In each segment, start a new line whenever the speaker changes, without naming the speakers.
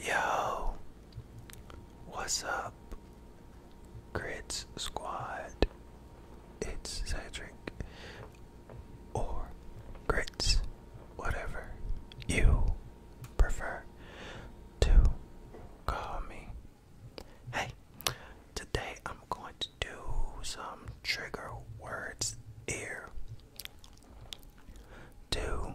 Yo, what's up, Grits Squad? It's Cedric or Grits, whatever you prefer to call me. Hey, today I'm going to do some trigger words here. Do.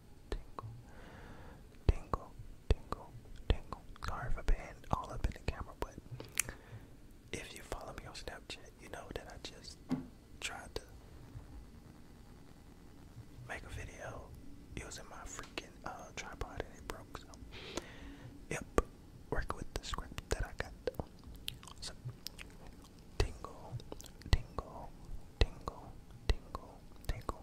tingle, tingle, tingle, tingle. Sorry for being all up in the camera, but if you follow me on Snapchat, you know that I just tried to make a video using my freaking uh, tripod and it broke. So, yep, work with the script that I got. So, tingle, tingle, tingle, tingle, tingle.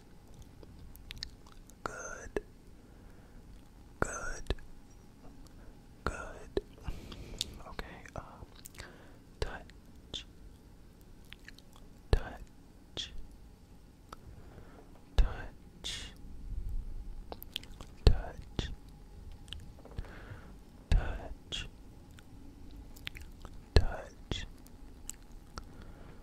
good, good, good. Okay, uh, touch, touch, touch, touch, touch. Touch,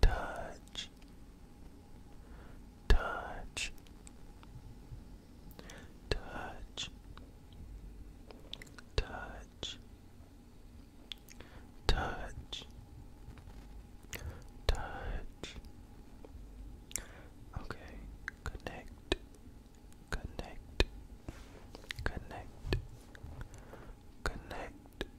touch, touch, touch, touch, touch, touch. Okay, connect, connect, connect, connect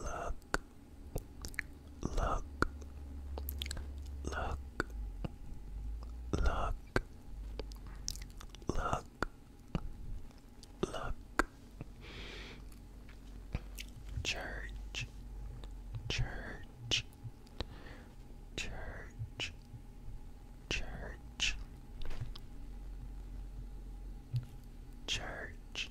Look, look, look, look, look, look.
Church, church, church, church, church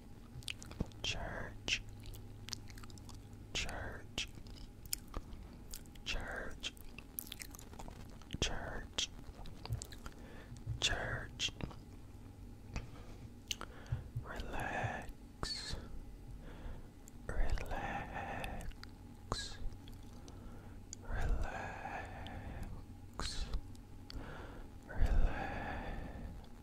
church, church, church, church, church, relax, relax, relax. Relax,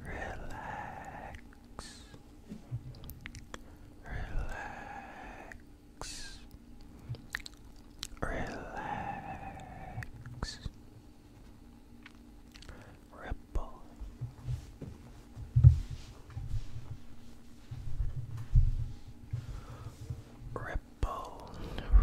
Relax. Relax. Relax. Ripple. Ripple. Ripple. Ripple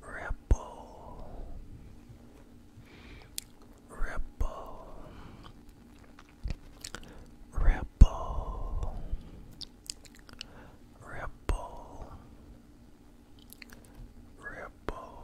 Ripple, ripple, ripple, ripple, ripple.